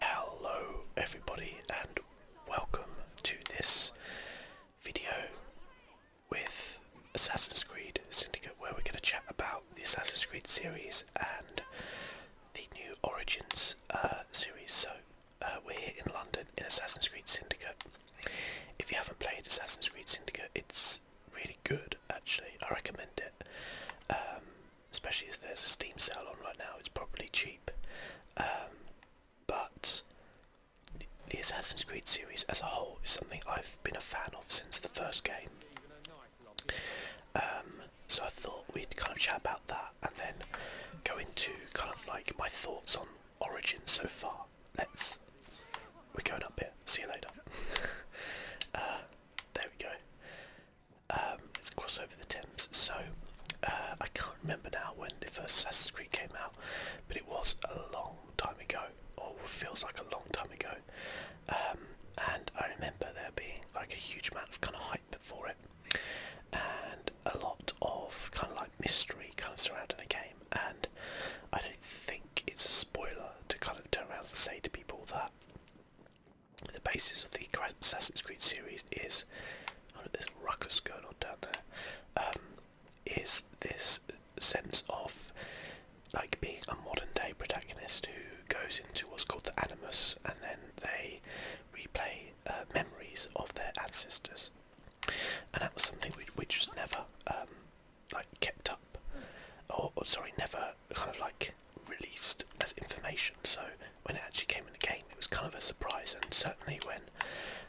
Hello everybody and welcome to this video with Assassin's Creed Syndicate where we're going to chat about the Assassin's Creed series and the new Origins uh, series. So uh, we're here in London in Assassin's Creed Syndicate. If you haven't played Assassin's Creed Syndicate it's really good actually, I recommend it. Um, especially as there's a Steam sale on right now, it's probably cheap. Um, but the, Assassin's Creed series as a whole is something I've been a fan of since the first game. Um, so I thought we'd kind of chat about that and then go into kind of like my thoughts on Origin so far. Let's. We're going up here. See you later. Uh, there we go. Um, it's a crossover the Thames. So uh, I can't remember now when the first Assassin's Creed came out, but it was a long time ago, or feels like a long time ago. Um, and I remember there being like a huge amount of kind of hype before it, and a lot of kind of like mystery kind of surrounding the game. And I don't think it's a spoiler to kind of turn around and say to people that the basis of the Assassin's Creed series is, oh, there's ruckus going on down there, um, this sense of like being a modern day protagonist who goes into what's called the Animus and then they replay uh, memories of their ancestors. And that was something which, was never um, like kept up, or sorry, never kind of like released as information. So when it actually came in the game, it was kind of a surprise. And certainly when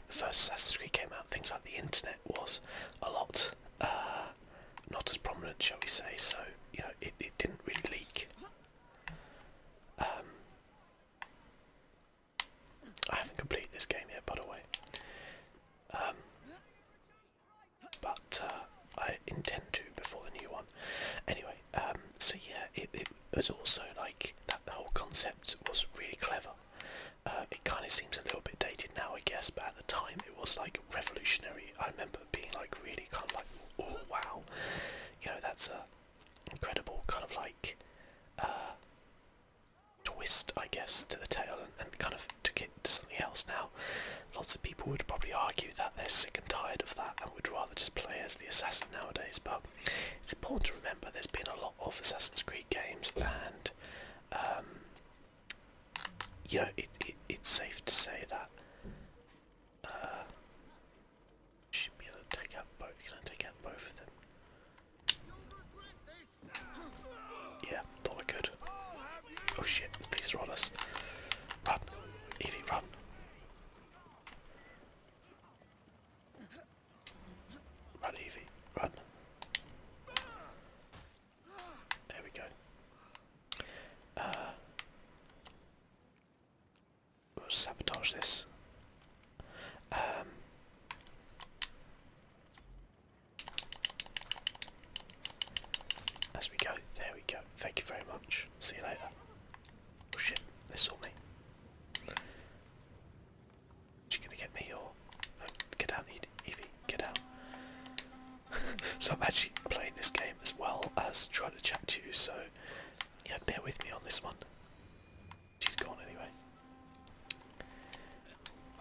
the first Assassin's Creed came out, things like the internet was a lot uh, not as prominent, shall we say. So you know, it, it didn't really leak. Um, I haven't completed this game yet, by the way. Um, but uh, I intend to before the new one. Anyway, um, so yeah, it, was also like that whole concept was really clever. Uh, it kind of seems a little bit dated now, I guess, but at the time it was like revolutionary. I remember being like really kind of like, oh wow, you know, that's a incredible kind of like uh, twist, I guess, to the tale, and kind of took it to something else. Now, Lots of people would probably argue that they're sick and tired of that and would rather just play as the assassin nowadays, but it's important to remember there's been a lot of Assassin's Creed games, and um, Yeah, it, it, it's safe to say that. Uh, should be able to take out both. Can I take out both of them? Yeah, thought I Oh shit! Please run us. Run, Evie, run. Run, Evie, run. There we go. Uh, sabotage this. Um, as we go, there we go. Thank you very much. See you later. Oh shit, they saw me. Is gonna get me or get out Evie, get out. so I'm actually playing this game as well as trying to chat to you, so yeah, bear with me on this one. She's gone anyway.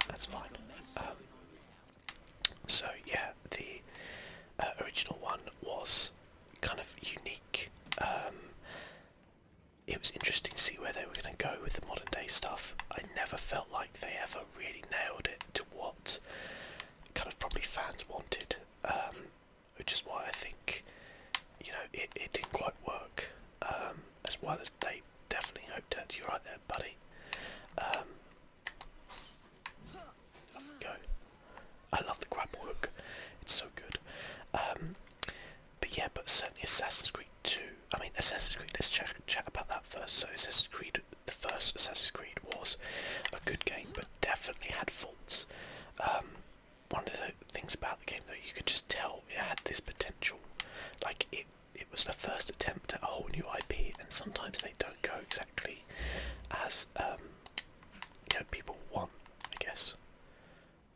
That's fine. Um, so yeah, the uh, original one was kind of unique. Um, it was interesting to see where they were going to go with the modern day stuff. I never felt like they ever really nailed it to what kind of probably fans wanted, um, which is why I think you know it, it didn't quite work um, as well as they definitely hoped at. You're right there, buddy. I love the grab work. it's so good. Um, but yeah, but certainly Assassin's Creed 2, I mean Assassin's Creed, let's chat about that first. So Assassin's Creed, the first Assassin's Creed was a good game, but definitely had faults. Um, one of the things about the game though, you could just tell it had this potential, like it it was the first attempt at a whole new IP, and sometimes they don't go exactly as um, you people want, I guess.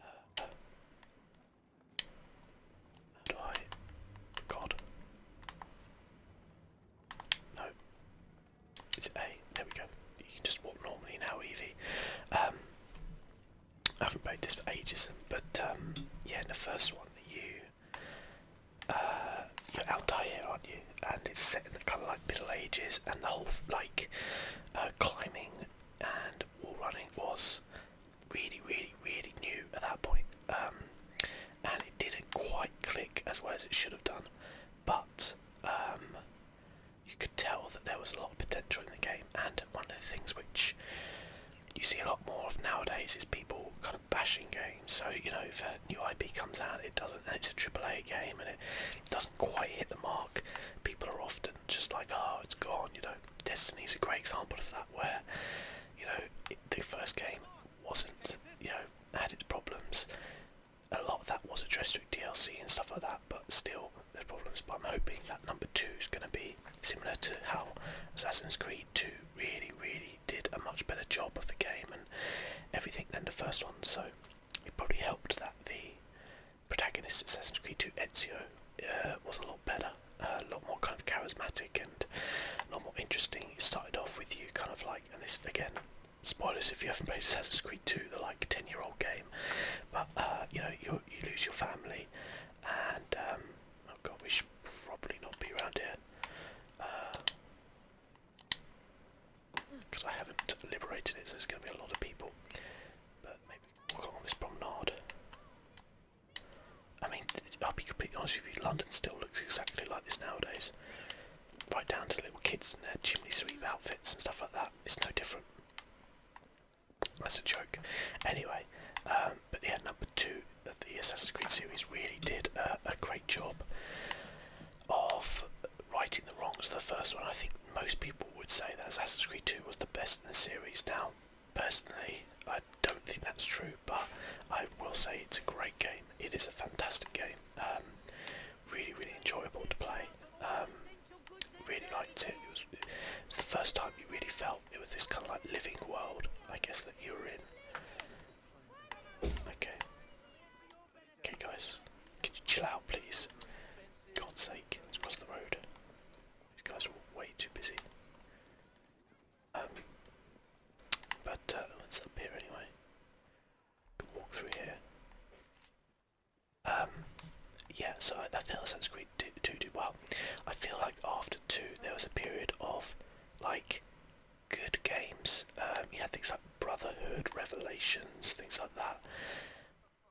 Uh, God. No. Is it A? There we go. You can just walk normally now, Evie. Um, I haven't played this for ages, but um, yeah, the first one, you, uh, you're Altair, aren't you? and it's set in the kind of like Middle Ages, and the whole like uh, climbing and wall running was really, really, really new at that point, um, and it didn't quite click as well as it should have done, but um, you could tell that there was a lot of potential in the game, and one of the things which you see a lot more of nowadays is people kind of bashing games. So you know, if a new IP comes out, it doesn't, and it's a AAA game, and doesn't quite hit the mark, people are often just like, oh, it's gone, you know. Destiny's a great example of that, where, you know, the first game wasn't, you know, had its problems. A lot of that was addressed through DLC and stuff like that, but still, there's problems. But I'm hoping that number two is going to be similar to how Assassin's Creed 2 really, really did a much better job of the game and everything than the first one. So it probably helped that the protagonist Assassin's Creed 2 Ezio uh, was a lot better, uh, a lot more kind of charismatic and a lot more interesting. It started off with you kind of like, and this again, spoilers if you haven't played Assassin's Creed 2, the like 10 year old game, but uh, you know, you, you lose your family, and um, oh god, we should probably not be around here. Because I haven't liberated it, so there's going to be a lot of people. But maybe walk along this promenade. I mean, I'll be completely honest with you, London still looks exactly like this nowadays. Right down to little kids in their chimney sweep outfits and stuff like that. It's no different. That's a joke. Anyway, um, but yeah, number two of the Assassin's Creed series really did uh, a great job of righting the wrongs of the first one. I think most people would say that Assassin's Creed 2 was the best in the series. Now, personally, I don't think that's true, but I will say it's a great game. It is a fantastic game. Um, really, really enjoyable to play. Um, really liked it. It was, the first time you really felt it was this kind of like living world, I guess, that you were in. Okay. Okay guys, can you chill out please? God's sake, let's cross the road. These guys are way too busy. Um, but uh, it's up here anyway. walk through here. Um, yeah, so I, feel think Assassin's Creed 2 did well. I feel like after 2 there was a period of like good games. Um, you had things like Brotherhood, Revelations, things like that.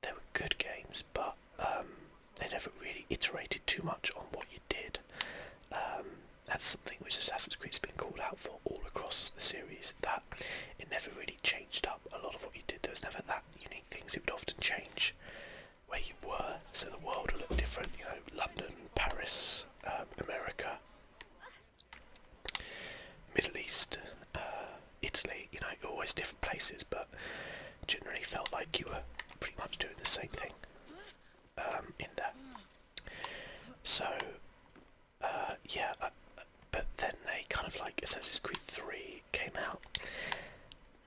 They were good games, but um, they never really iterated too much on what you did. Um, that's something which Assassin's Creed's been called out for all across the series, that it never really changed up a lot of what you did. There was never that unique things. It would often change where you were, so the world would look different. You know, London, Paris, um, America, Middle East, uh, Italy, you know, always different places, but generally felt like you were pretty much doing the same thing um, in there. So, uh, yeah, uh, but then they kind of like Assassin's Creed 3 came out,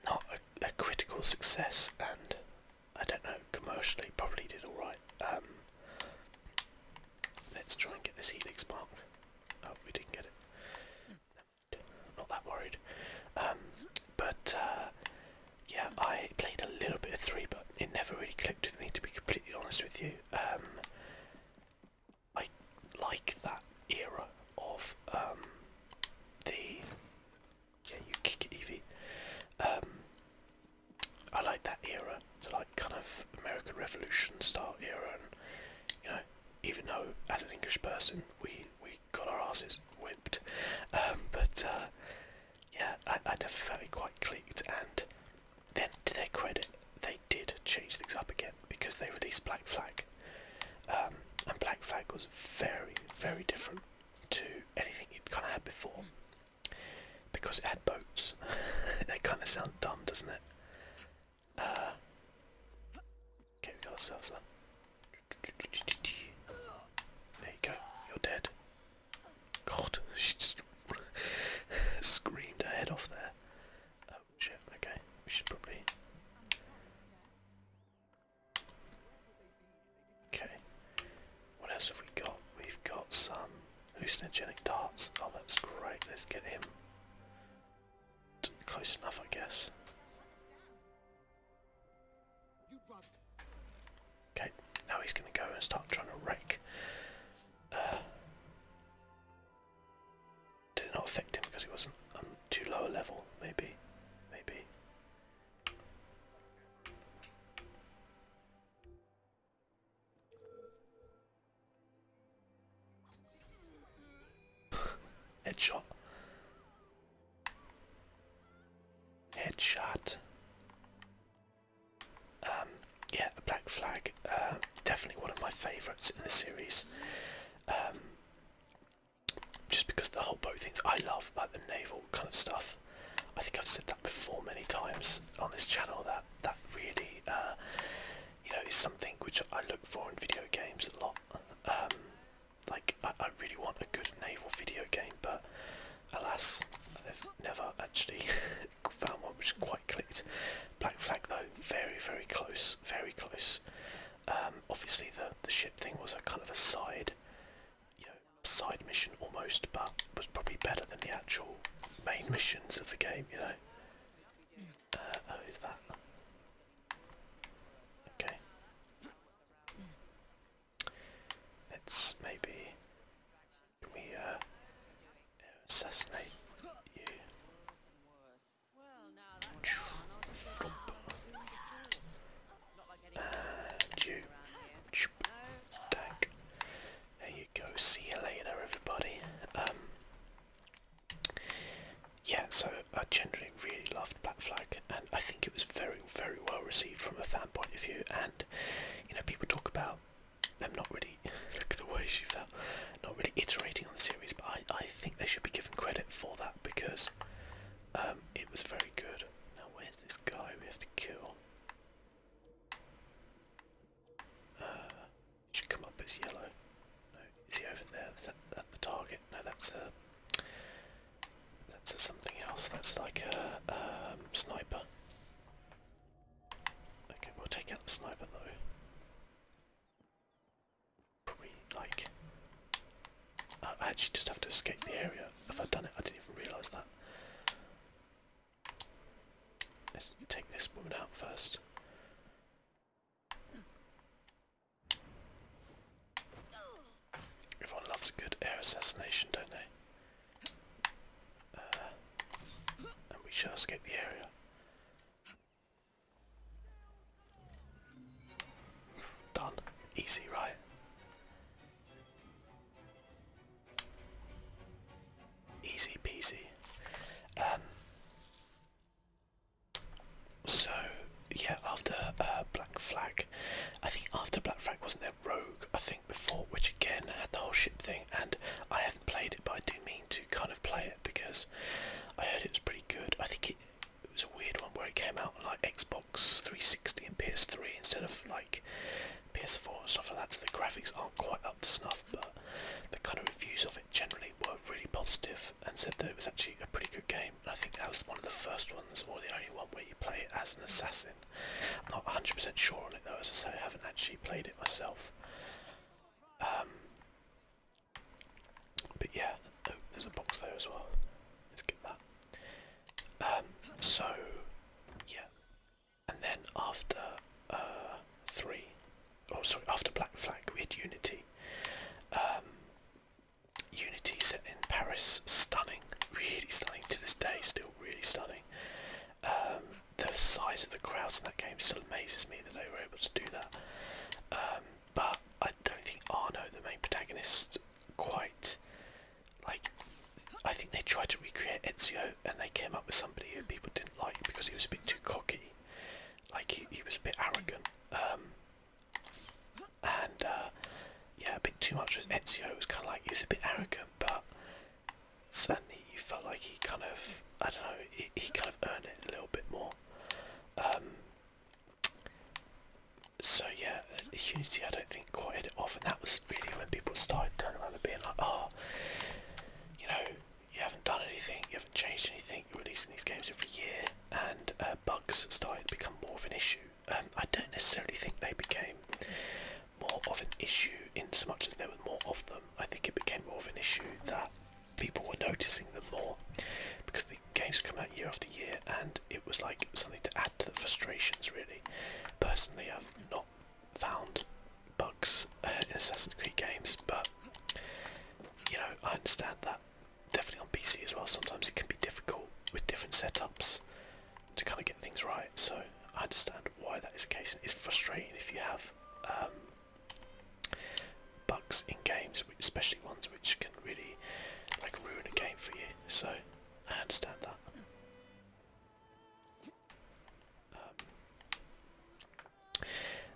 not a, critical success, and I don't know, commercially probably did alright. Um, let's try and get this Helix mark. Oh, we didn't get it. Not that worried. Um, but uh, yeah, I played a little bit of three, but it never really clicked with me. To be completely honest with you, um, I like that era of um, the yeah, you kick it, Evie. I like that era like kind of American Revolution style era, and you know, even though as an English person we we got our asses whipped, um, but uh, yeah, I, I never felt it quite clicked. And then to their credit, they did change things up again because they released Black Flag, um, and Black Flag was very very different to anything it kind of had before because it had boats. that kind of sounds dumb, doesn't it? Uh, okay, we got ourselves There you go, you're dead. God, she screamed her head off there. Oh shit, okay, we should probably. Okay, what else have we got? We've got some hallucinogenic darts. Oh, that's great, let's get him. Close enough, I guess. Okay, now he's going to go and start trying to rake. Uh, did it not affect him because he wasn't um, too low a level? Maybe. Maybe. Headshot. Headshot. Um, yeah, a black flag. Uh, definitely one of my favourites in the series. Um, just because the whole boat things I love, like the naval kind of stuff. I think I've said that before many times on this channel. That that really uh, you know, is something which I look for in video games a lot. Um, like, I, I really want a good naval video game, but alas, I've never actually found one which quite clicked. Black Flag, though, very, very close, very close. Um, obviously, the, the ship thing was a kind of a side, you know, side mission almost, but was probably better than the actual main missions of the game, you know. Uh, oh, who's that? Okay. Let's maybe. we, uh, assassinate you? Flump. And you. Dank. There you go. See you later, everybody. Um, yeah, so I generally really loved Black Flag, and I think it was very, very well received from a fan point of view. And you know, people talk about them not really look at the way she felt, not really iterating on the series, but I, I think they should be given credit for that because um, it was very good. Now, where's this guy we have to kill? Uh, should come up as yellow. No, is he over there? That's the target? No, that's uh, a that's something else. That's like a um, sniper. Okay, we'll take out the sniper though. Probably like I actually just have to escape the area. If I'd done it, I didn't even realise that. Let's take this woman out first. Everyone loves a good air assassination, don't they? Uh, and we shall escape the area. Done. Easy, right? Easy peasy. Um, so yeah, after uh, Black Flag, I think after Black Flag wasn't there Rogue? I think before, which again had the whole ship thing, and I haven't played it, but I do mean to kind of play it because I heard it was pretty good. I think it, was a weird one where it came out like Xbox 360 and PS3 instead of like PS4 and stuff like that. So the graphics aren't quite up to snuff, but the kind of reviews of it generally were really positive and said that it was actually a pretty good game. I think that was one of the first ones, or the only one, where you play as an assassin. I'm not 100% sure on it though, as I say, I haven't actually played it myself. Um, but yeah, oh, there's a box there as well. Let's get that. Um, so, yeah. And then after uh, three, oh sorry, after Black Flag we had Unity. Um, Unity set in Paris, stunning, really stunning to this day, still really stunning. Um, the size of the crowds in that game still amazes me that they were able to do that. Um, but I don't think Arno, the main protagonist, quite like. I think they tried to recreate Ezio and they came up with somebody who people didn't like because he was a bit too cocky. Like he, he was a bit arrogant, um, and uh, yeah, a bit too much with Ezio. It was kind of like he was a bit arrogant, but certainly you felt like he kind of, I don't know, he, he kind of earned it a little bit more. Um, so yeah, Unity I don't think quite hit it off, and that was really when people started turning around and being like, oh, you know, you haven't done anything, you haven't changed anything, you're releasing these games every year, and uh, bugs started to become more of an issue. Um, I don't necessarily think they became more of an issue in so much as there were more of them. I think it became more of an issue that people were noticing them more because the games come out year after year and it was like something to add to the frustrations really. Personally I've not found bugs uh, in Assassin's Creed games but you know, I understand that definitely on PC as well. Sometimes it can be difficult with different setups to kind of get things right. So I understand why that is the case. It's frustrating if you have um, bugs in games, especially ones which can really like ruin a game for you. So I understand that. Um,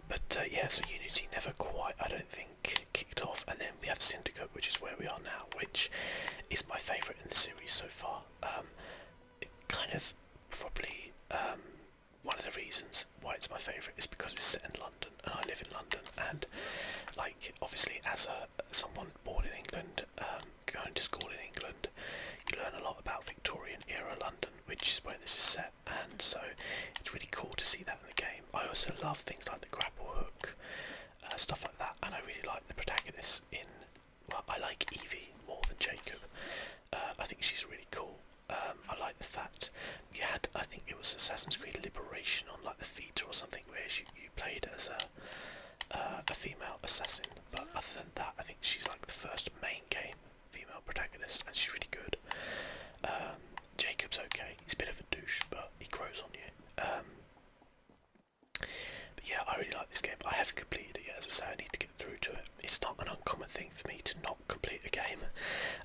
but uh, yeah, so Unity never quite, I don't think, kicked off. And then we have Syndicate, which is where we are now, which is my favourite in the series so far. Um, kind of probably um, one of the reasons why it's my favourite is because it's set in London, and I live in London. And like, obviously, as a someone born in England, um, going to school in England, you learn a lot about Victorian era London, which is where this is set and so it's really cool to see that in the game. I also love things like the grapple hook, uh, stuff like that, and I really like the protagonist in. Well, I like Evie more than Jacob. Uh, I think she's really cool. Um, I like the fact you had, I think it was Assassin's Creed Liberation on like the Vita or something, where you, you played as a, uh, a female assassin. But other than that, I think she's like the first main game female protagonist, and she's really good. Um, Jacob's okay. He's a bit of a douche, but he grows on you. Um, but yeah, I really like this game. I haven't completed it yet, as I say, I need to get through to it. It's not an uncommon thing for me to not complete a game.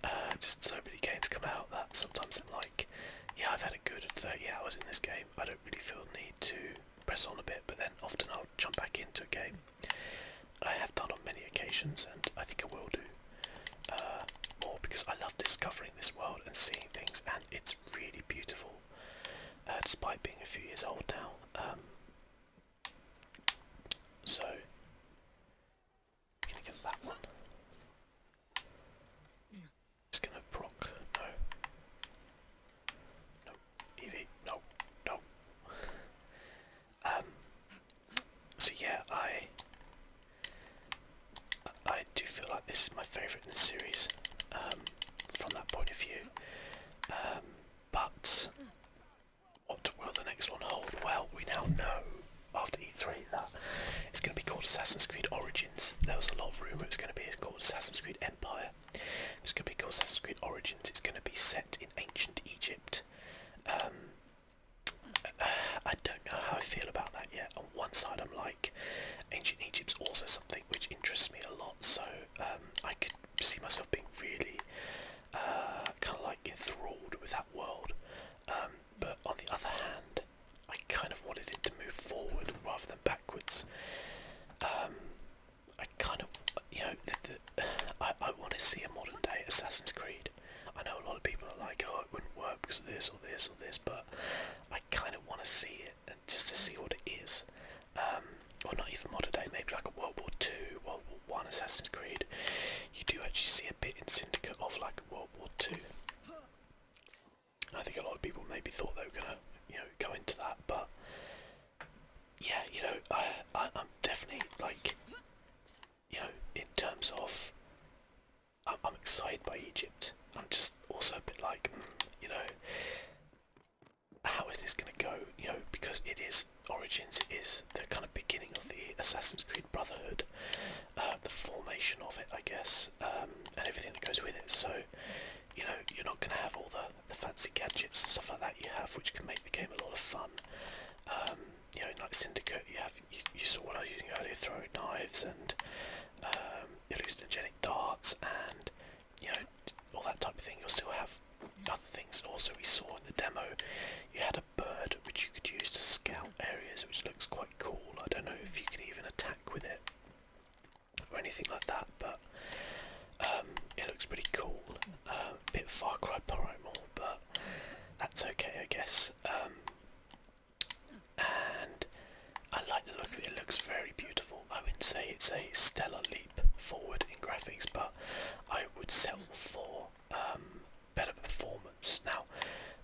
Uh, just so many games come out that sometimes I'm like, yeah, I've had a good 30 hours in this game. I don't really feel the need to press on a bit, but then often I'll jump back into a game I have done on many occasions, and I think I will do uh, more because I love discovering this world and seeing things, and it's really beautiful, uh, despite being a few years old now. Um, so, I'm gonna get that one. It's gonna proc. No. No. Eevee. No. No. Um, so yeah, I I do feel like this is my favourite in the series um, from that point of view. Um, but what will the next one hold? Well, we now know after E3 that it's going to be called Assassin's Creed Origins. There was a lot of rumour it's going to be called Assassin's Creed Empire. It's going to be called Assassin's Creed Origins. It's going to be set in ancient Egypt. I don't know how I feel about that yet. On one side, I'm like, ancient Egypt's also something which interests me a lot, so um, I could see myself being really uh, kind of like enthralled with that world. Um, but on the other hand, I kind of wanted it to move forward rather than backwards. Um, I kind of, you know, I, I want to see a modern day Assassin's Creed. I know a lot of people are like, oh, it wouldn't work because of this or this or this, but I kind of want to see it and just to see what it is. Um, or not even modern day, maybe like a World War Two, World War One, Assassin's Creed. You do actually see a bit in Syndicate of like World War Two. I think a lot of people maybe thought they were gonna, you know, go into that, but yeah, you know, I I'm definitely like you know, in terms of, I'm, excited by Egypt. I'm just also a bit like, mm, you know, how is this going to go? You know, because it is Origins it is the kind of beginning of the Assassin's Creed Brotherhood, uh, the formation of it, I guess, um, and everything that goes with it. So, you know, you're not going to have all the, the fancy gadgets and stuff like that you have, which can make the game a lot of fun. Um, you know, like Syndicate, you have you, saw what I was using earlier, throwing knives and um, hallucinogenic darts and you know all that type of thing. You'll still have other things. Also, we saw in the demo you had a bird which you could use to scout areas, which looks quite cool. I don't know if you can even attack with it or anything like that, but um, it looks pretty cool. Um, bit Far Cry Primal, but that's okay, I guess. Um, and I like the look of it, it looks very beautiful. I wouldn't say it's a stellar leap forward in graphics, but I would settle for um, better performance. Now,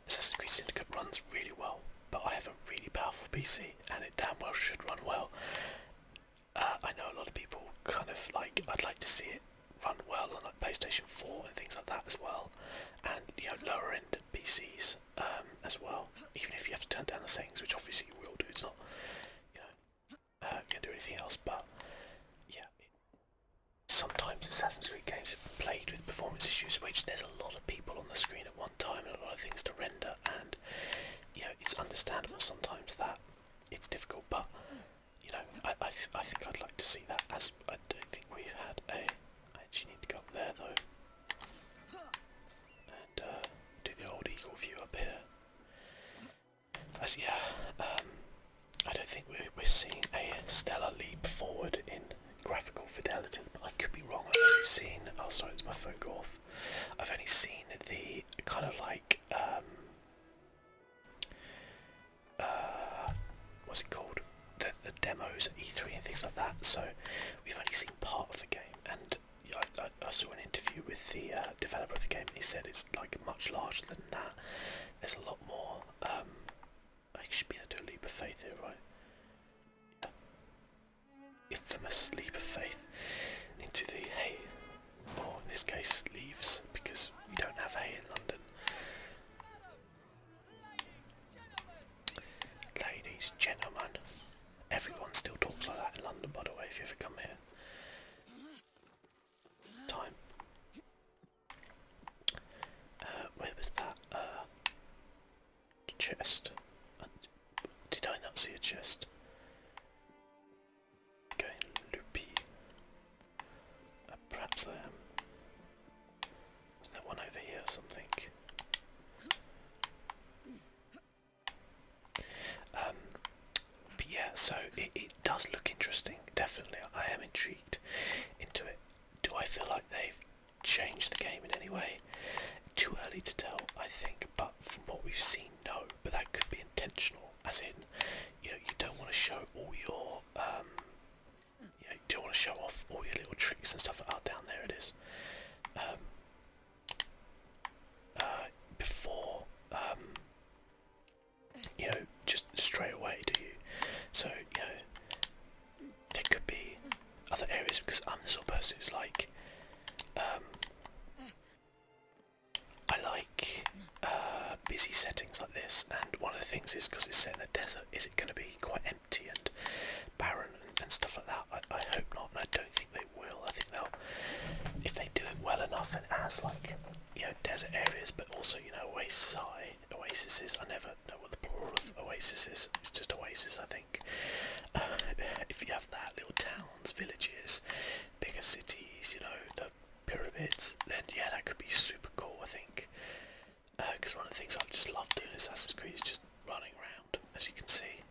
Assassin's Creed Syndicate runs really well, but I have a really powerful PC and it damn well should run well. Uh, I know a lot of people kind of like, I'd like to see it run well on like PlayStation 4 and things like that as well, and you know lower end PCs um, as well. Even if you have to turn down the settings, which obviously you will do, it's not you know uh, can do anything else. But yeah, sometimes Assassin's Creed games have played with performance issues, which there's a lot of people on the screen at one time and a lot of things to render, and you know it's understandable sometimes that it's difficult, but you know, I I, I think I'd like to see that. As I don't think we've had a. I actually need to go up there though, and uh, do the old eagle view up here. As yeah, um, I don't think we're we're seeing a stellar leap forward in graphical fidelity, I could be wrong. I've only seen. Oh, sorry, it's my phone go off. I've only seen the kind of like um, uh, what's it called? The, demos E3 and things like that. So we've only seen part of the game, and I, saw an interview with the uh, developer of the game, and he said it's like much larger than that. There's a lot more. Um, I should be able to leap of faith here, right? Infamous leap of faith into the hay, or in this case, leaves, because we don't have hay in London. Ladies, gentlemen, everyone still talks like that in London, by the way, if you ever come here. Time. Uh, where was that? Uh, chest. Did I not see a chest? Going loopy. Uh, perhaps I am. was there one over here or something? Um, yeah, so it, it does look interesting, definitely. I am intrigued into it. Do I feel like they've changed the game in any way? Too early to tell, I think, but from what we've seen, no. But that could be intentional, as in, you know, you don't want to show all your um, you do do want to show off all your little tricks and stuff. Oh, down there it is. Um, uh, before, um, you know, just straight away, do you? So, you know, there could be other areas because I'm the sort of person who's like, um, I like uh, busy settings like this, and one of the things is because it's set in a desert, is it going to be quite empty and barren and, stuff like that? I, hope not, I don't think they will. I think they'll, if they do it well enough, and as like you know desert areas, but also you know oasis, oases. I never know what the plural of oasis is. It's just oasis, I think. if you have that, little towns, villages, bigger cities, you know the pyramids, then yeah, that could be super cool, I think. Because uh, one of the things I just love doing in Assassin's Creed is just running around, as you can see.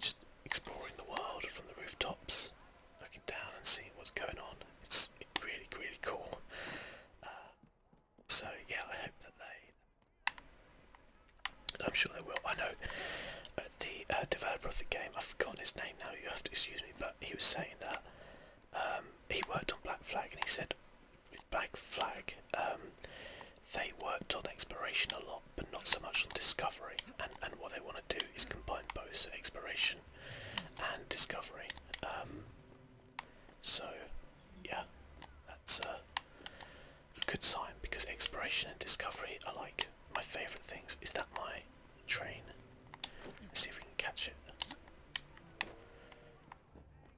Just exploring the world from the rooftops, looking down and seeing what's going on. It's really, really cool. Uh, so yeah, I hope that they. I'm sure they will. I know uh, the developer of the game. I've forgotten his name now. You have to excuse me, but he was saying that um, he worked on Black Flag and he said with Black Flag um, they worked on exploration a lot but not so much on discovery and, and what they want to do is combine both exploration and discovery um, so yeah that's a good sign because exploration and discovery are like my favourite things is that my train. Let's see if we can catch it.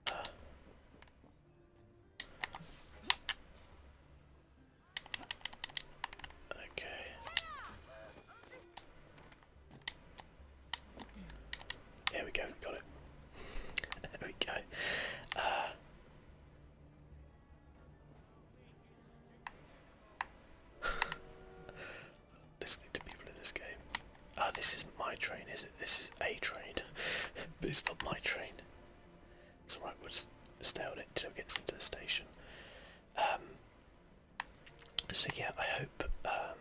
Uh. Okay. There we go, We got it. there we go. Uh. listening to people in this game. Ah, this is my train, is it? This is a train, but it's not my train. It's all we'll stay on it till it gets into the station. Um, so yeah, I hope um,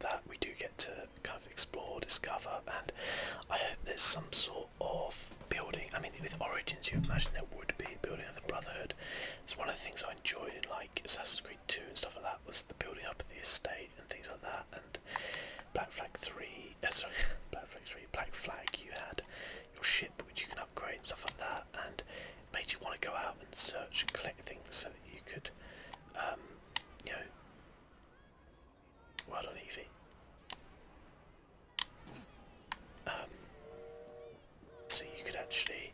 that we do get to kind of explore, discover, and I hope there's some sort of building. I mean, with Origins, you imagine there would be building of the Brotherhood. It's one of the things I enjoyed in like Assassin's Creed. Two and stuff like that was the building up of the estate and things like that. And Black Flag Three, uh, sorry, Black Flag Three, Black Flag, you had your ship which you can upgrade and stuff like that, and made you want to go out and search and collect things so that you could, um, you know. Well done, Evie. Um, so you could actually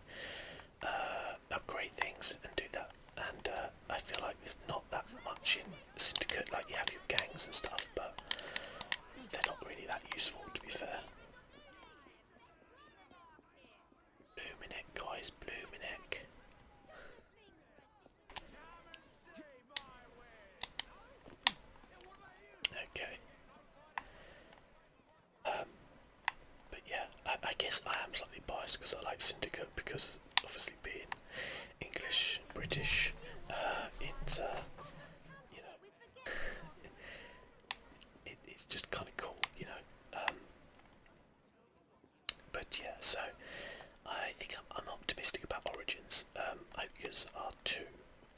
uh, upgrade things and do that. And uh, I feel like there's not that much in Syndicate. Like you have your gangs and stuff, but they're not really that useful, to be fair. Blooming heck, guys, blooming heck. Okay. Um, but yeah, I, guess I am slightly biased because I like Syndicate because obviously being English, British, uh, uh you know it's just kind of cool, you know. Um, but yeah, so I think I'm, optimistic about Origins. Um, because are too,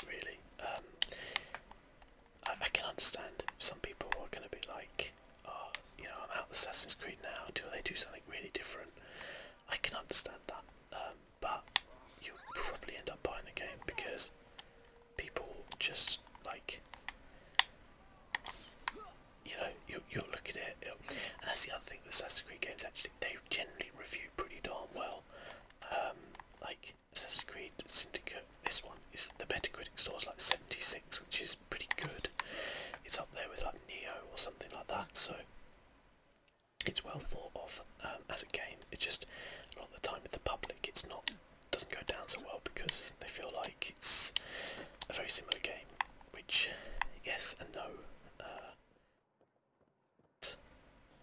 really. Um, I can understand some people are going to be like, oh, you know, I'm out of Assassin's Creed now Do they do something really different. I can understand that, um, but you'll probably end up buying the game because people just like you know you you'll look at it, and that's the other thing. The Assassin's Creed games actually they generally review pretty darn well. Um, like Assassin's Creed Syndicate this one is the Metacritic scores like 76, which is pretty good. It's up there with like Neo or something like that, so it's well thought of um, as a game. It's just a lot of the time with the public, it's not doesn't go down so well because they feel like it's a very similar game, which yes and no. Uh,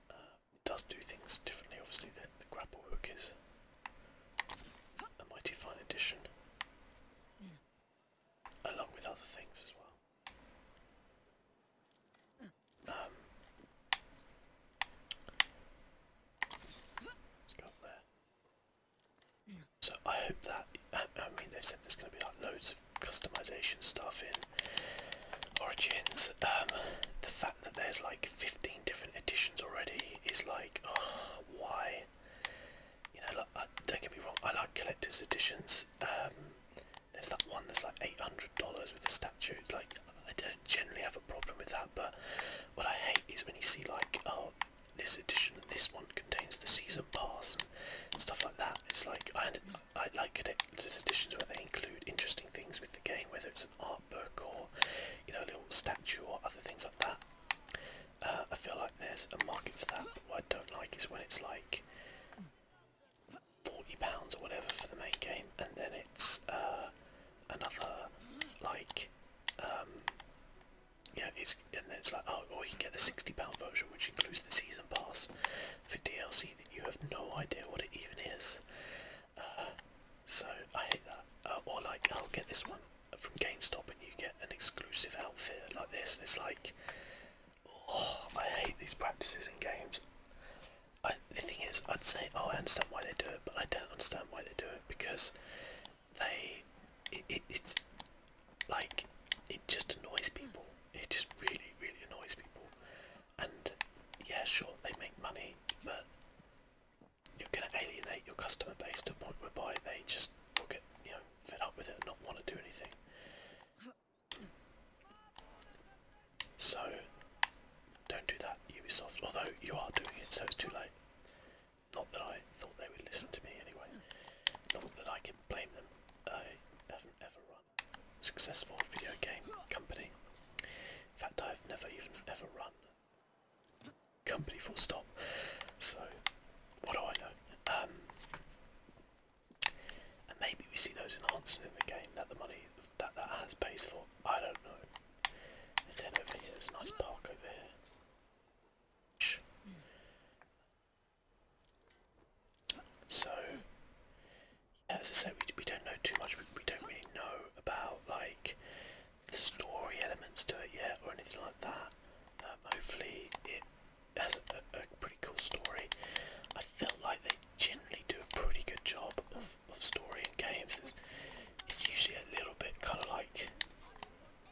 uh, does do things differently. Obviously, the, the grapple hook is a mighty fine edition, Along with other things as well. Um, let's there. So I hope that, I mean they've said there's going to be like loads of customization stuff in Origins. Um, the fact that there's like 15 different editions already is like, oh, why? You know, don't get me wrong, I like collector's editions. Um, there's that one that's like eight hundred dollars with the statue. It's like I don't generally have a problem with that, but what I hate is when you see like, oh, this edition, this one contains the season pass and stuff like that. It's like I, I like collector's editions where they include interesting things with the game, whether it's an art book or you know a little statue or other things like that. Uh, I feel like there's a market for that. what I don't like is when it's like forty pounds or whatever for the main game, and then it's uh, another like um, yeah, it's and then it's like oh, or you can get the sixty pound version, which includes the season pass for DLC that you have no idea what it even is. Uh, so I hate that. or like I'll get this one from GameStop and you get an exclusive outfit like this, and it's like, oh, I hate these practices in games. I, the thing is, I'd say, oh, I understand why they do it, but I don't understand why they do it because they, it, it's like, it just annoys people. It just really, really annoys people. And yeah, sure, they make money, but you're going to alienate your customer base to a point whereby they just will get you know fed up with it and not want to do anything. So don't do that, Ubisoft. Although you are doing it, so it's too late. Not that I thought they would listen to me anyway. Not that I can blame them. I haven't ever run successful video game company. In fact, I've never even ever run company full stop. So what do I know? Um, and maybe we see those in answer in the game that the money that that has pays for. I don't know. It's us over here. There's a nice park over here. Shh. So, yeah, as I said, we, we don't know too much. We, we don't really know about like the story elements to it yet or anything like that. Um, hopefully, it has a, pretty cool story. I felt like they generally do a pretty good job of, of story in games. It's, usually a little bit kind of like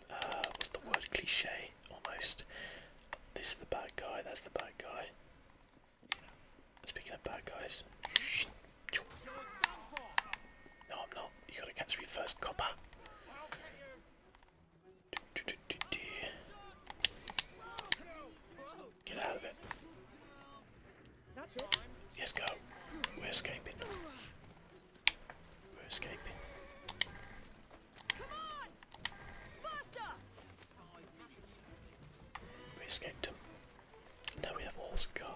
uh, what's the word cliche almost. This is the bad guy. That's the bad guy. Speaking of bad guys. No, I'm not. You gotta catch me first, copper. Get out of it. Yes, go. We're escaping. We're escaping. We escaped him. Now we have a horse car.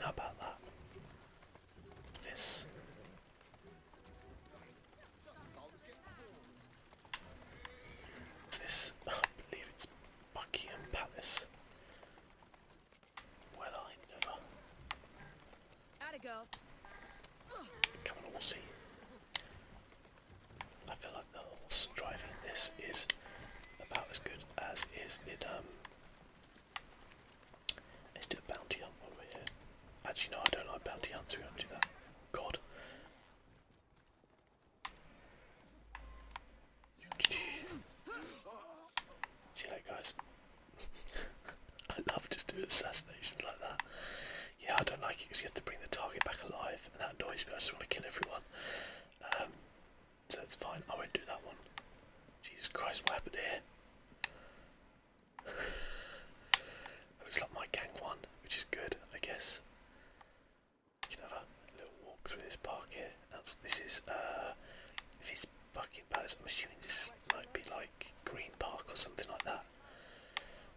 How about that? this? this? Oh, believe it's Buckingham Palace. Well, I never. Gotta go. Come on, horsey. I feel like the horse driving this is about as good as is it um, Let's do a bounty hunt while we're here. Actually, no, I don't like bounty hunts. We don't do that. God. See you later, guys. I love just doing assassinations like that. Yeah, I don't like it because you have to bring the target back alive, and that annoys me. I just want to kill everyone. Um, so it's fine. I won't do that one. Jesus Christ, what happened here? It's like my gang one, which is good, I guess. We can have a little walk through this park here. That's, this is, uh, if it's Bucket Palace, I'm assuming this might be like Green Park or something like that,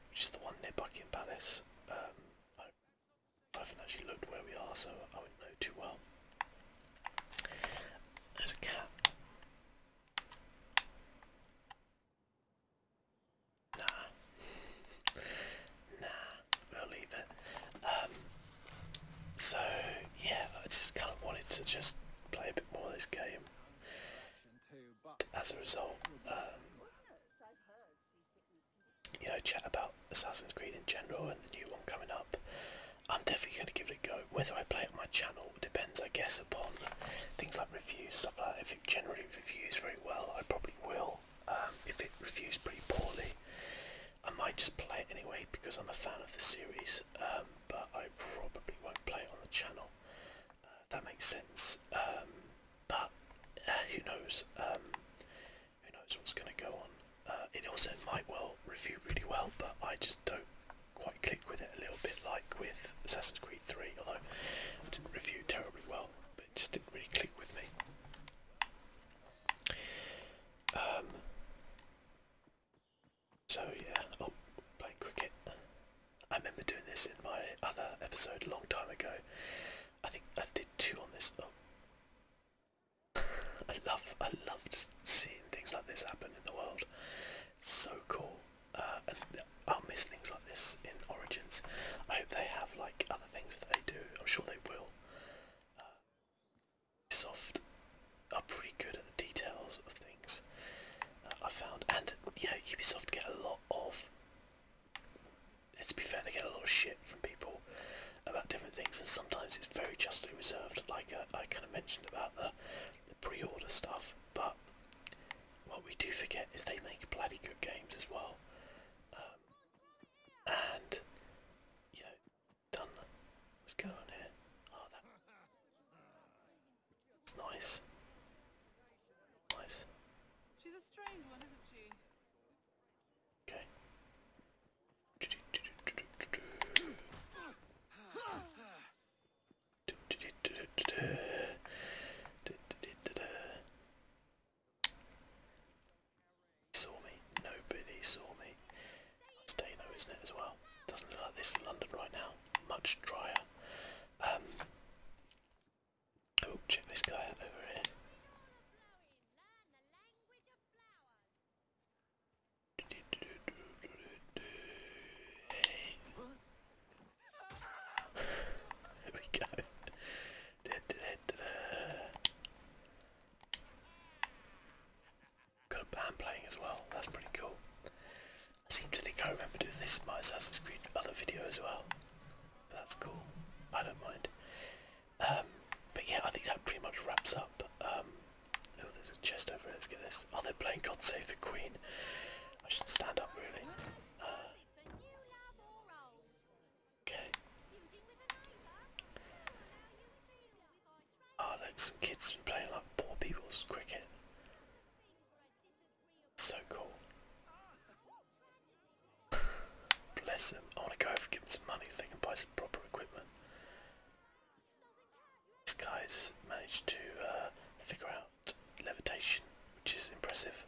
which is the one near Buckingham Palace. Um, I haven't actually looked where we are, so I wouldn't know too well. There's a cat. Nah. nah, we'll leave it. Um, so, yeah, I just kind of wanted to just play a bit more of this game. As a result, um, you know, chat about Assassin's Creed in general and the new one coming up. I'm definitely going to give it a go. Whether I play it on my channel depends, I guess, upon things like reviews, stuff If it generally reviews very well, I probably will. Um, if it reviews pretty poorly, I might just play it anyway because I'm a fan of the series, um, but I probably won't play it on the channel. Uh, that makes sense. Um, but uh, who knows? who knows what's going to go on? Uh, it also might well review really well, but I just don't quite click with it a little bit like with Assassin's Creed 3, although I didn't review terribly well, but it just didn't really click with me. Um, so yeah, oh, playing cricket. I remember doing this in my other episode a long time ago. I think I did two on this. Oh. I love, I love seeing things like this happen in the world so cool. Uh, I'll miss things like this in Origins. I hope they have like other things that they do. I'm sure they will. Uh, Soft are pretty good at the details of things. Uh, I found, and yeah, Ubisoft get a lot of. let be fair, they get a lot of shit from people about different things, and sometimes it's very justly reserved. Like uh, I kind of mentioned about the the pre-order stuff, but what we do forget is they make bloody good games as well, um, and you done. What's going on here? Oh, that. It's nice. Nice. She's a strange one, isn't she? Okay. Saw me. Nobody saw me. That's Dano, isn't it, as well? Doesn't look like this in London right now. Much drier. Um, oh, check this guy over here. There we go. Got a band playing as well, that's pretty cool. I seem to think I remember doing this in my Assassin's Creed other video as well. But that's cool. I don't mind. Um, but yeah, I think that pretty much wraps up um, Oh, there's a chest over here. Let's get this. Oh, they're playing God Save the Queen. I should stand up, really. Uh, okay. Oh, ah, look, some kids playing like poor people's cricket. So cool. Bless them. I want to go over and give them some money so they can buy some proper equipment. This guys managed to uh, figure out levitation, which is impressive.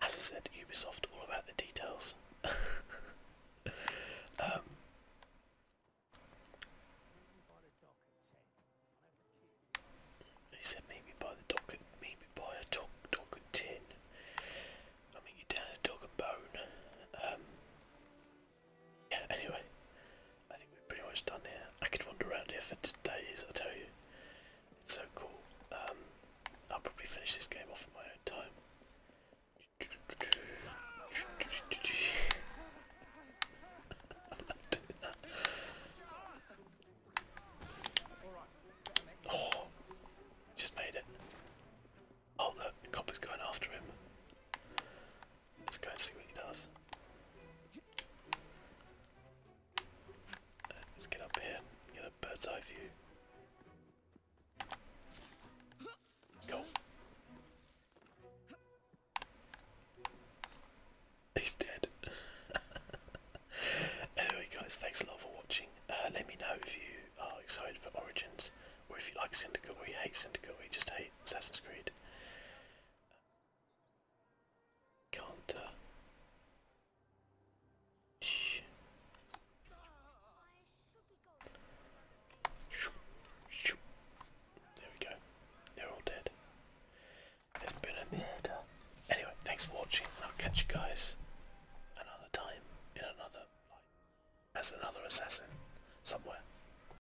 As I said, Ubisoft all about the details. Um, he said, "Meet me the dock. Meet me a dock, dock tin. I mean, you down a dog and bone." Um, yeah, anyway, I think we're pretty much done here. I could wander around here for days, I tell you. It's so cool. Um, I'll probably finish this game off in my own time. Oh, just made it. Oh the cop is going after him. Let's go and see what he does. Uh, let's get up here get a bird's eye view. Go. He's dead. anyway, guys, thanks a lot for watching. Uh, let me know if you are excited for Origins, or if you like Syndicate, or you hate Syndicate, or you just hate Assassin's Creed. Counter. Shh. There we go. They're all dead. There's been a murder. Anyway, thanks for watching, I'll catch you guys another time in another, as another assassin somewhere.